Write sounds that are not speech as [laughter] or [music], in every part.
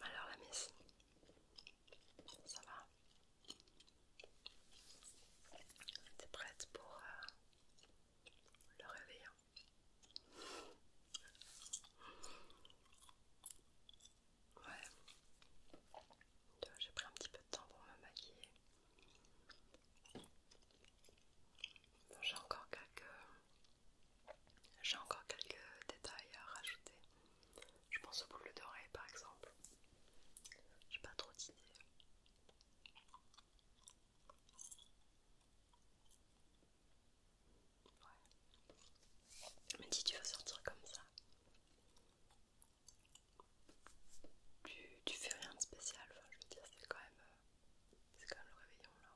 Alors la messe, ça va T'es prête pour euh, le réveil hein Ouais. J'ai pris un petit peu de temps pour me maquiller. j'ai encore quelques. J'ai encore quelques détails à rajouter. Je pense aux boules d'oreilles par exemple. J'ai pas trop d'idées. Ouais. Mais si tu veux sortir comme ça, tu, fais rien de spécial, enfin, je veux dire, c'est quand même, euh, c'est le réveillon là.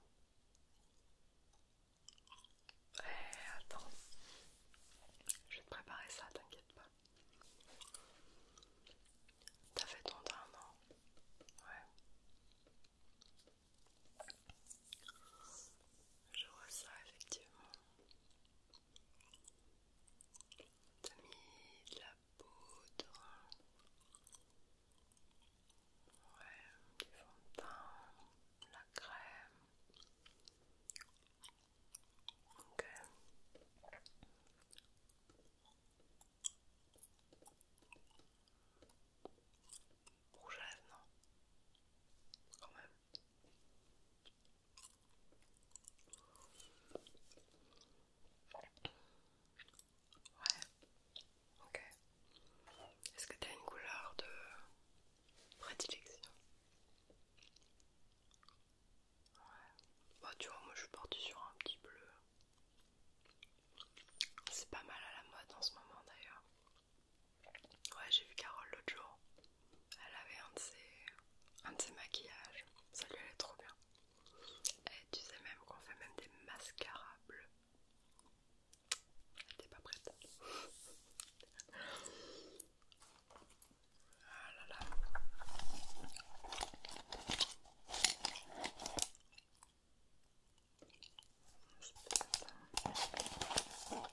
Ouais, eh, attends, je vais te préparer ça, t'inquiète pas. T'as fait ton temps, non Ouais. Je vois ça effectivement. T'as mis de la poudre. Ouais, du fond de teint, la crème. Ok. Rouge à lèvres, non Quand même. Ouais, ok. Est-ce que tu as une couleur de prédilection Ouais, bah tu vois, moi je porte sur un petit bleu. C'est pas mal à la mode en ce moment d'ailleurs. Ouais, j'ai vu Carole l'autre jour. Elle avait un de ses, un maquillages, ça lui allait trop bien. Et tu sais même qu'on fait même des mascarables. Elle pas prête. Ah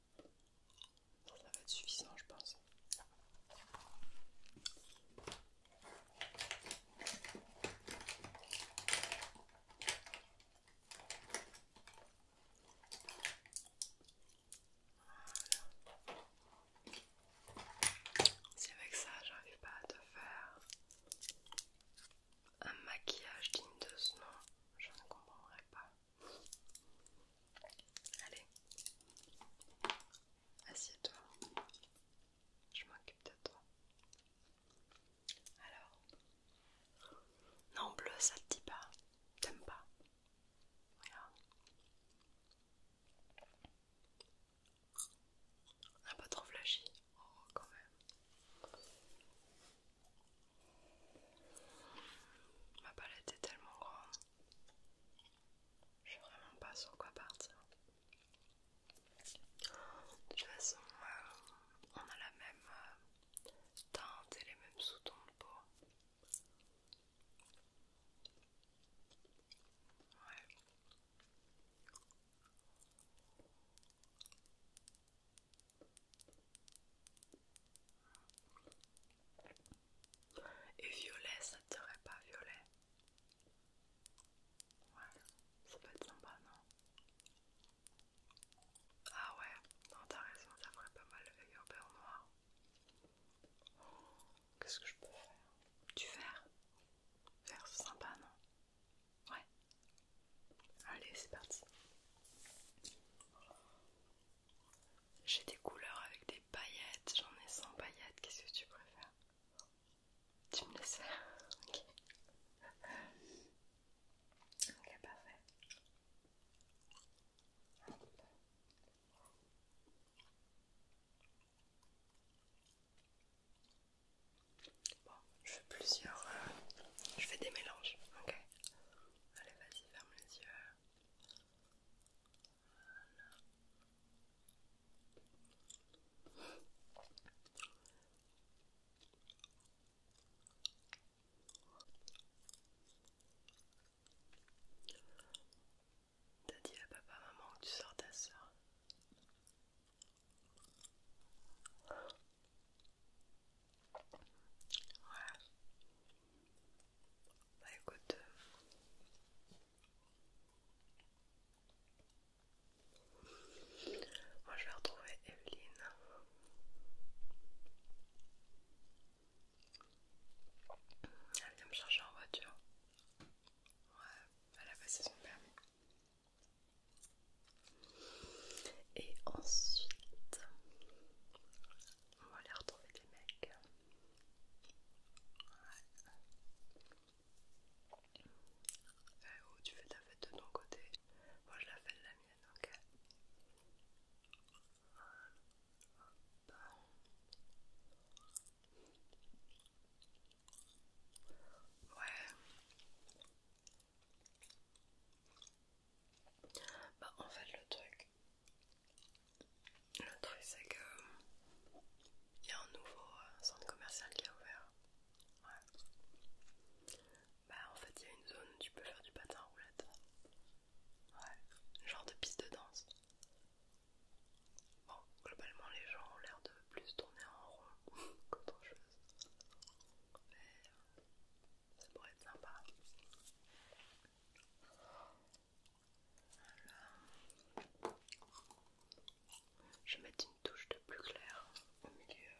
Ça va être suffisant, je pense. Voilà. Si avec ça j'arrive pas à te faire un maquillage digne de ce nom, je ne comprendrai pas. Allez, assieds-toi. Je m'occupe de toi. Alors, non bleu, ça te dit pas. T'aimes pas. Regarde. n'a pas trop flashy. Oh, quand même. Ma palette est tellement grande. Je sais vraiment pas sur quoi partir. De toute façon, euh, on a la même euh, teinte et les mêmes sous-tons de peau. Ouais. Et violet, ça te serait pas violet Ouais, ça peut être sympa, non Ah ouais, non t'as raison, ça ferait pas mal le beurre noir. Qu'est-ce que je peux faire Du vert Vert, c'est sympa, non Ouais. Allez, c'est parti. J'ai des couleurs avec des paillettes, j'en ai sans paillettes, qu'est-ce que tu préfères Tu me laisses [laughs] Ok. Ok, parfait. Bon, je fais plusieurs. Euh, je fais des mélanges, ok Allez, vas-y, ferme les yeux. T'as dit à papa, maman que tu sors ta soeur. Bah écoute. Euh, moi je vais retrouver Evelyne. Elle vient me chercher en voiture. Ouais, elle a ça son permis. Et ensuite, on va aller retrouver des mecs. Eh tu fais ta fête de ton côté. Moi je la fais de la mienne, ok Ouais. Bah en fait le truc le truc c'est que euh, il y a un nouveau euh, centre commercial qui a ouvert. Bah en fait il y a une zone où tu peux faire du patin à roulette. Ouais. Genre de piste de danse. Bon, globalement les gens ont l'air de plus tourner en rond [laughs] qu'autre chose. Mais euh, ça pourrait être sympa je vais mettre une touche de plus clair au milieu.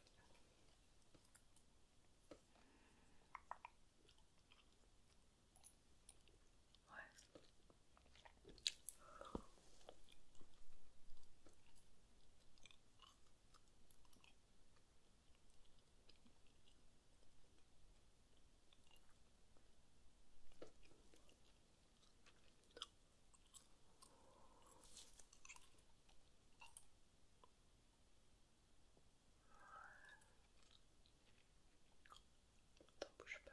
T'en bouge pas, on bouge pas.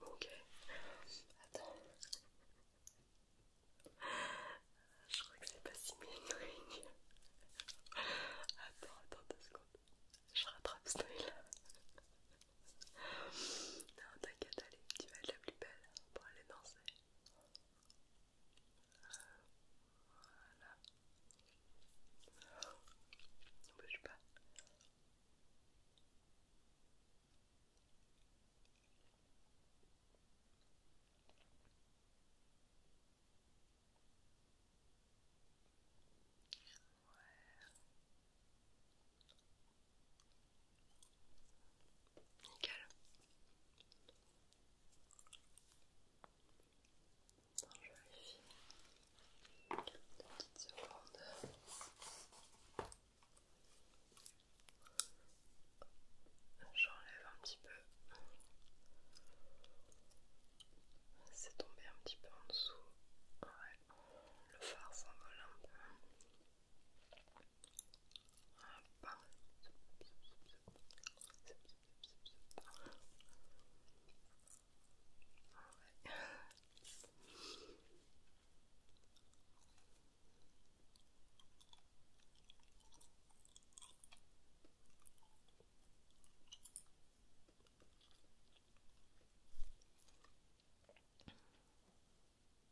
Ok, attends. Je crois que c'est pas si bien Attends, Attends, attends Je rattrape non, t'inquiète, allez, tu vas être la plus belle pour aller danser. Voilà. Ne bouge pas. Ouais. Nickel. je vérifie. Deux petites secondes. J'enlève un petit peu. C'est tombé un petit peu en dessous le phare s'envole un peu. Ah Ouais.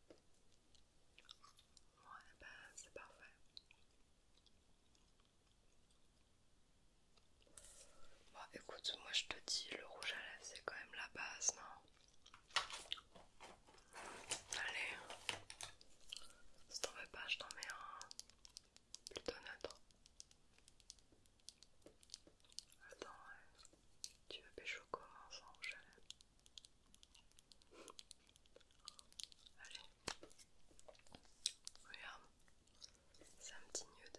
Ouais, bah, c'est parfait. Bon, écoute, moi je te dis, le rouge à lèvres c'est quand même la base, non Allez, si t'en veux pas, je t'en mets un plutôt neutre. Attends, euh, tu veux pécho comment sans chalet Allez, regarde, c'est un petit nude.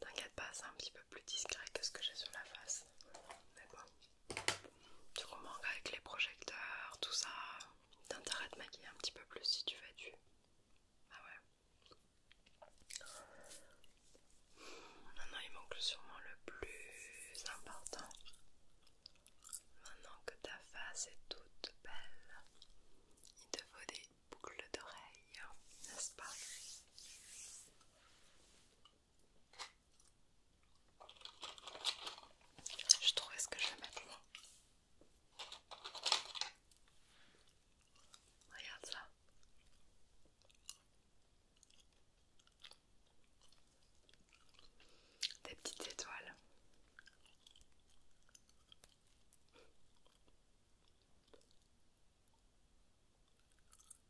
T'inquiète pas, c'est un petit peu plus discret que ce que j'ai sur la face. D'accord. tu remarques avec les projecteurs, tout ça, t'as maquiller un petit peu plus si tu fais du. Ah ouais. Maintenant, il manque sûrement le plus important. Maintenant que ta face est toute belle, il te faut des boucles d'oreilles, n'est-ce pas je trouvais ce que je vais mettre là. Regarde ça. Des petites étoiles.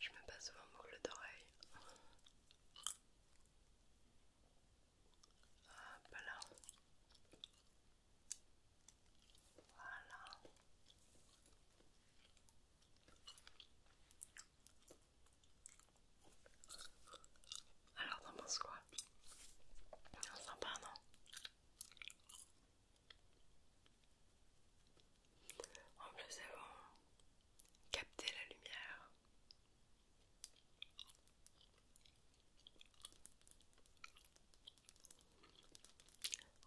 Je me passe souvent boucle d'oreille. Hop là. Voilà. Alors t'en penses quoi Sympa non en elles vont capter la lumière.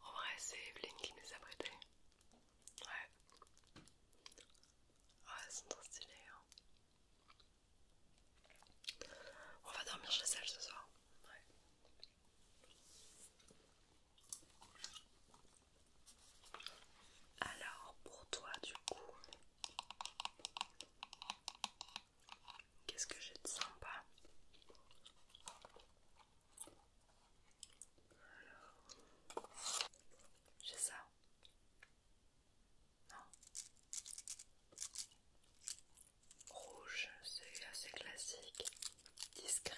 En vrai, c'est Evelyne qui nous a prêté. Ouais. oh, elles sont trop stylées. Hein. On va dormir chez elle ce soir. Ouais. Alors pour toi du coup, qu'est-ce que j'ai de sympa j'ai ça. Rouge, c'est assez classique, discret.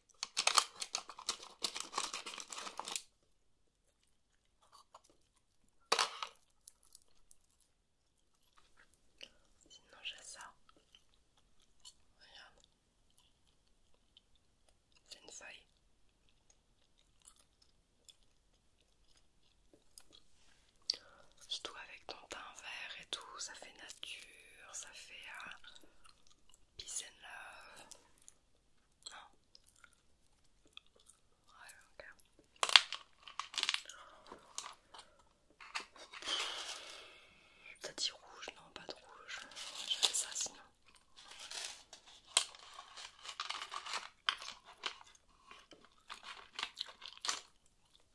Sinon j'ai ça. Regarde. C'est une feuille. tout avec ton teint vert et tout, ça fait nature, ça fait... Euh, Peace là Non. ok. T'as dit rouge, non, pas de rouge. J'ai ça sinon.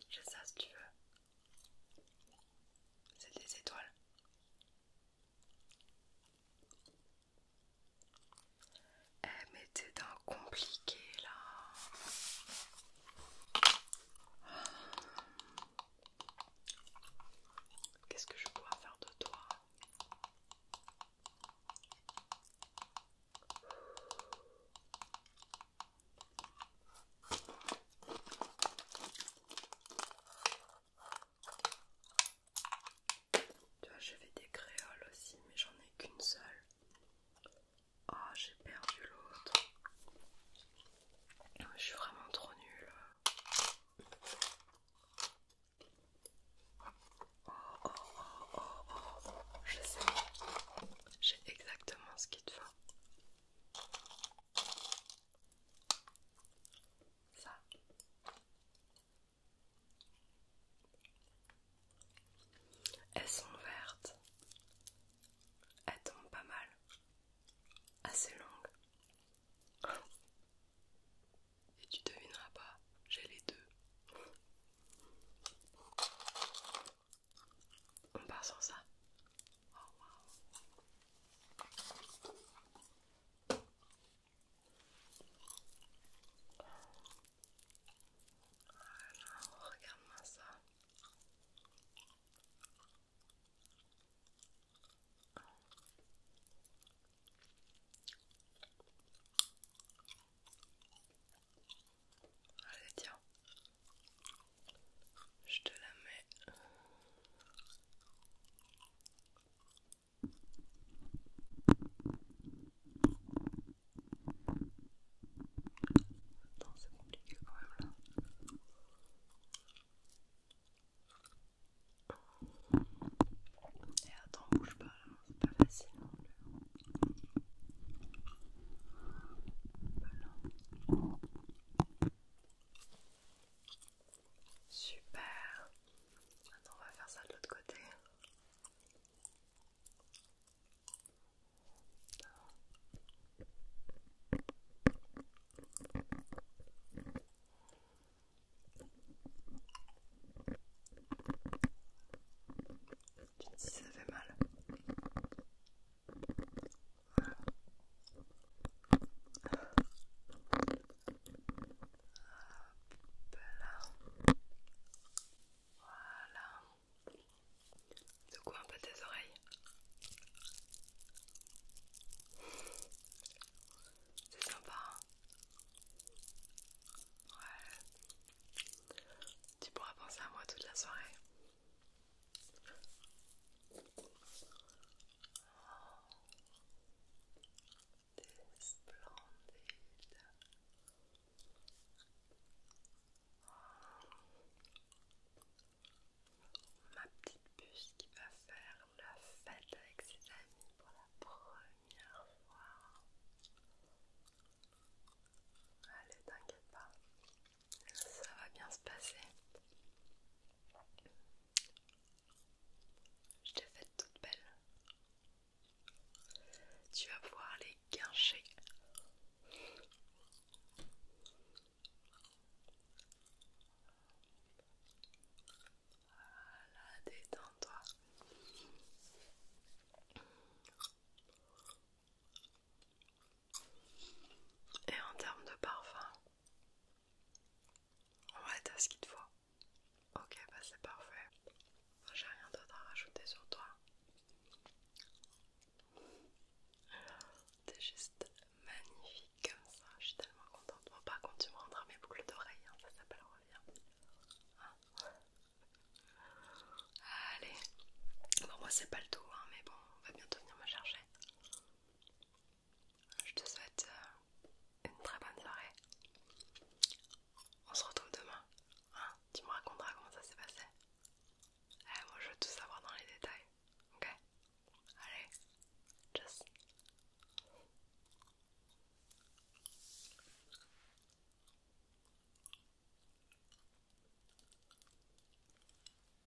J'ai ça si tu veux. C'est des étoiles. Eh mais t'es d'un compliqué là. Qu'est-ce que je dois faire de toi tu vois, je fait des créoles aussi, mais j'en ai qu'une seule. Oh, j'ai perdu l'autre. Je suis vraiment trop nulle. Oh, oh, oh, oh, oh. Je sais. J'ai exactement ce qu'il te faut ça. Elles sont vertes. Elles tombent pas mal. Assez longues. Et tu devineras pas, j'ai les deux. On part sans ça. Oh, regarde-moi ça. Allez, tiens, je te la mets Attends, c'est compliqué quand même là. Et eh, attends, bouge pas c'est pas facile Super. Maintenant, on va faire ça de l'autre côté. Tu me dis si ça fait mal voilà Voilà. un peu tes oreilles. C'est sympa. Hein. ouais. Tu pourras penser à moi toute la soirée. T'es splendide. Ma petite puce qui va faire la fête avec ses amis pour la première fois. Allez, t'inquiète pas. Ça va bien se passer. Je t'ai faite toute belle. Tu vas pouvoir les guincher. détends-toi. Et en termes de parfum, Ouais, t'as ce qu'il te faut. Ok, bah c'est parfait. J'ai rien d'autre à rajouter sur toi. T'es juste magnifique comme ça, je suis tellement contente. Bon, par contre, tu me rendras mes boucles d'oreilles, hein. ça s'appelle revient. Hein. Allez, bon, moi c'est pas le tout, hein, mais bon, on va bientôt venir me chercher. Je te souhaite euh, une très bonne soirée. On se retrouve demain. Hein. tu me raconteras comment ça s'est passé. Eh, moi je veux tout savoir dans les détails. Ok Allez, tchuss.